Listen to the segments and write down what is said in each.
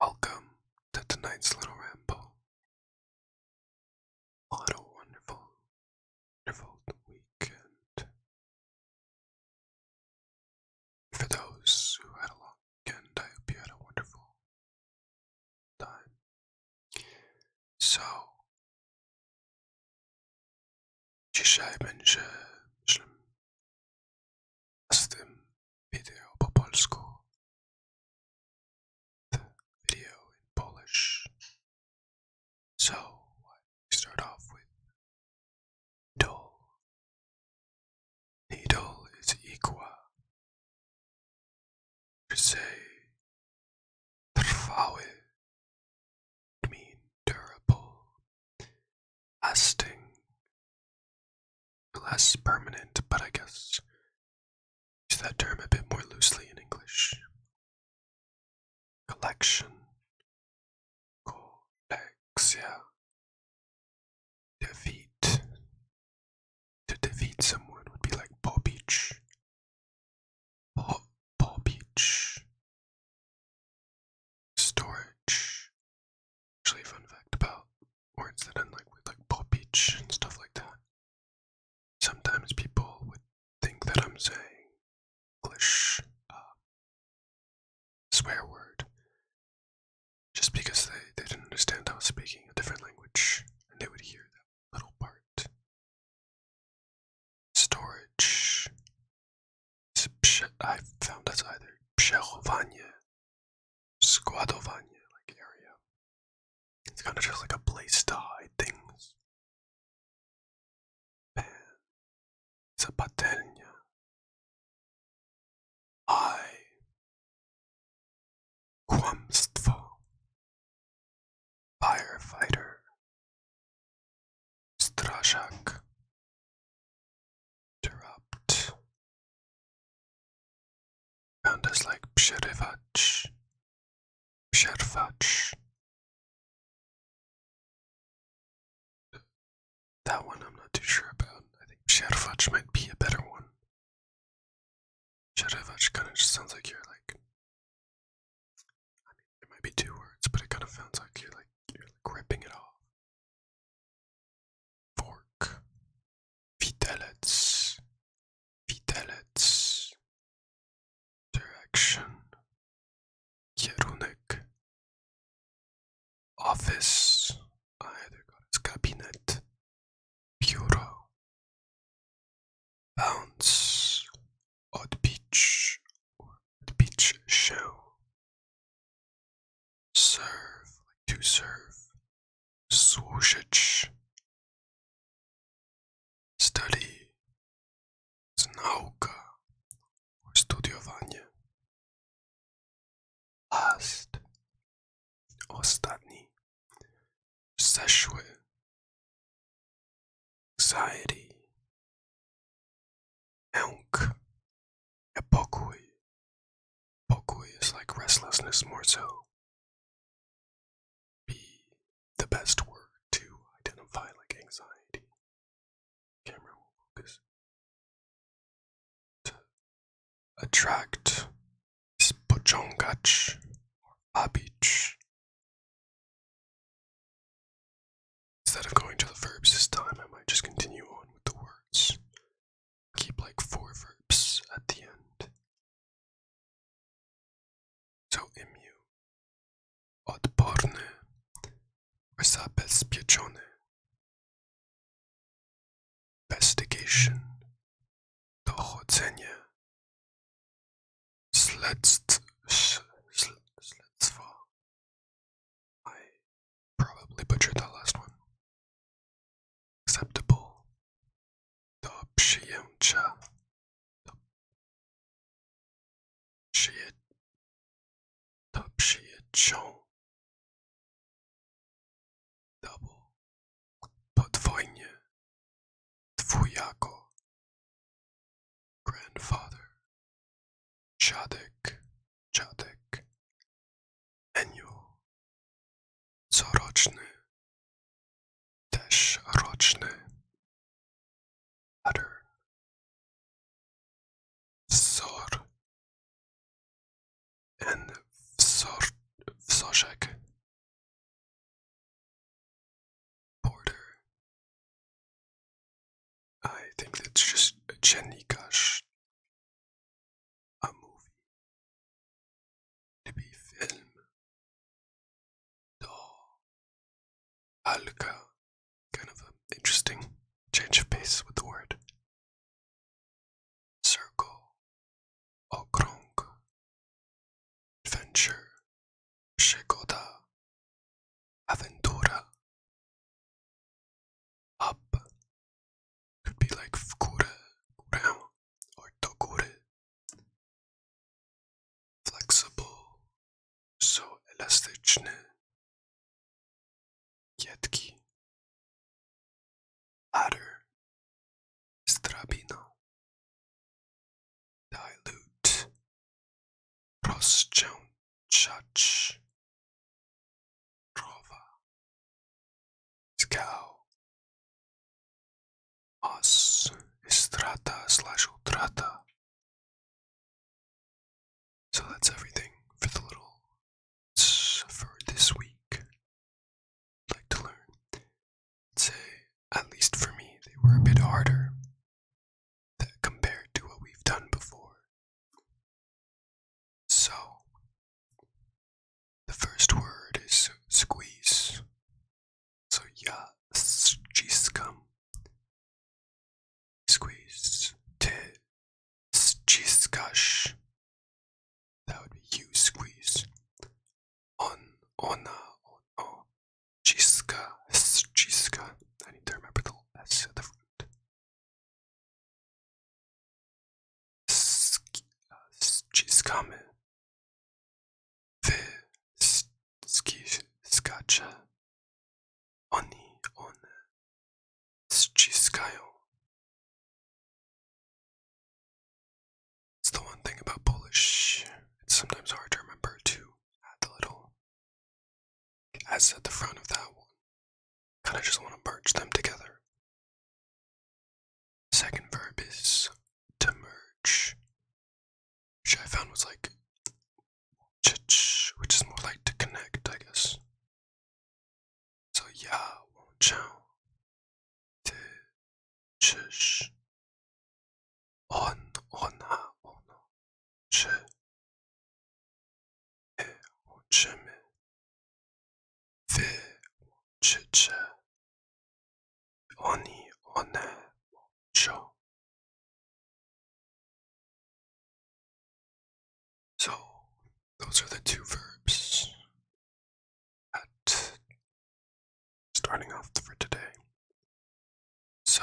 Welcome to tonight's little ramble. What a wonderful, wonderful weekend. For those who had a long weekend, I hope you had a wonderful time. So, dzisiaj będzie, z tym The video in Polish. So I start off with needle. Needle is equa. To say trwały. Mean durable, lasting, less permanent, but I guess use that term a bit more loosely in English. Collection, collexia, defeat. To defeat someone would be like Paw Beach. Paw, Paw Beach storage. Actually, fun fact about words that end like with like Paul Beach and stuff like that. Sometimes people would think that I'm saying English um, swear word just because they, they didn't understand I was speaking a different language and they would hear that little part. Storage. I found that's either Przechowanie, Składowanie, like area. It's kind of just like a place to hide things. Pan, Zapatelnia, I, Kłamstwo, Firefighter, Straszak. Interrupt. Found us like Psherevach. Pshervach. That one I'm not too sure about. I think Pshervach might be a better one. Psherevach kind of just sounds like you're like. I mean, it might be two words, but it kind of sounds like you're like you're like ripping it off. Fork. Vitalets. Vitalets. Direction. Kierunek. Office. A ah, to go to cabinet. Bureau. Bounce. Odbić beach show. Serve, to serve. Słuchać. Study. It's nauka. Or studiowanie. Last. Ostatni. Zeszły. Anxiety. Aunk. Epokoi. Epokoi is like restlessness more so. Be the best word to identify like anxiety. Camera focus. attract is pochongach or Instead of going to the verbs this time, I might just continue on with the words. Keep like four verbs at the end. So imiu. Odporny. Zabezpieczony. Investigation. Dochodzenie. Śledztwo. Śledztwo. I probably butchered the last one. Acceptable. The Pshiemcha. The Pshiet. The Pshietchon. Double. Podvoinie. Tvuyako. Grandfather. Czadek, Czadek, enyo, coroczny, też roczny, pattern, wzor, en wzor, wzorzek, border, I think that's just Jenny Cash, a movie to be filmed. Oh, kind of an interesting change of pace with the word. Circle, Okrong, Adventure, shikota. Aventura. Up could be like fkure, kurem, or tokure. Flexible, so elastyczny. Kietki. Ladder. Strabino. Dilute rozciągać, krowa, skał, os, estrata slash utrata. So that's everything for the little for this week. like to learn. say, at least for me, they were a bit harder that compared to what we've done before. So, the first word is squeeze. So, ya, cheese cum. Squeeze, te, cheese gush. That would be you, squeeze. On, ona, ono, chiska, chiska. I need to remember the S at the front. Skamy. Wy skisz skacze. Oni, one ściskają. It's the one thing about Polish. It's sometimes hard to remember to add the little as at the front of that one. Kind of just want to merge them together. Second verb is to merge, which I found was like, which is more like to connect, I guess. So yeah, won't chow, te, chish, on, ona, ono. So, those are the two verbs at starting off for today. So,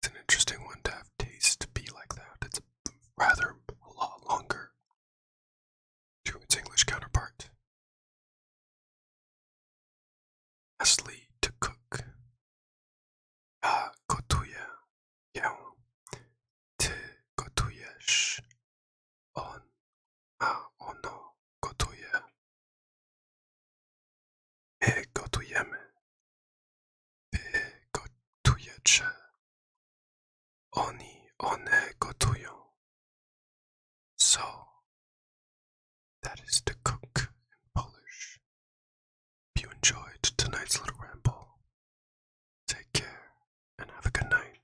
It's an interesting one to have taste to be like that. It's rather a lot longer to its English counterpart. Lastly, to cook. A ah, gotuje ję, ty gotujesz, on Ah, ono gotuje. My gotujemy. Wy gotujecie. Oni, one gotują. So, that is to cook in Polish. If you enjoyed tonight's little ramble, take care and have a good night.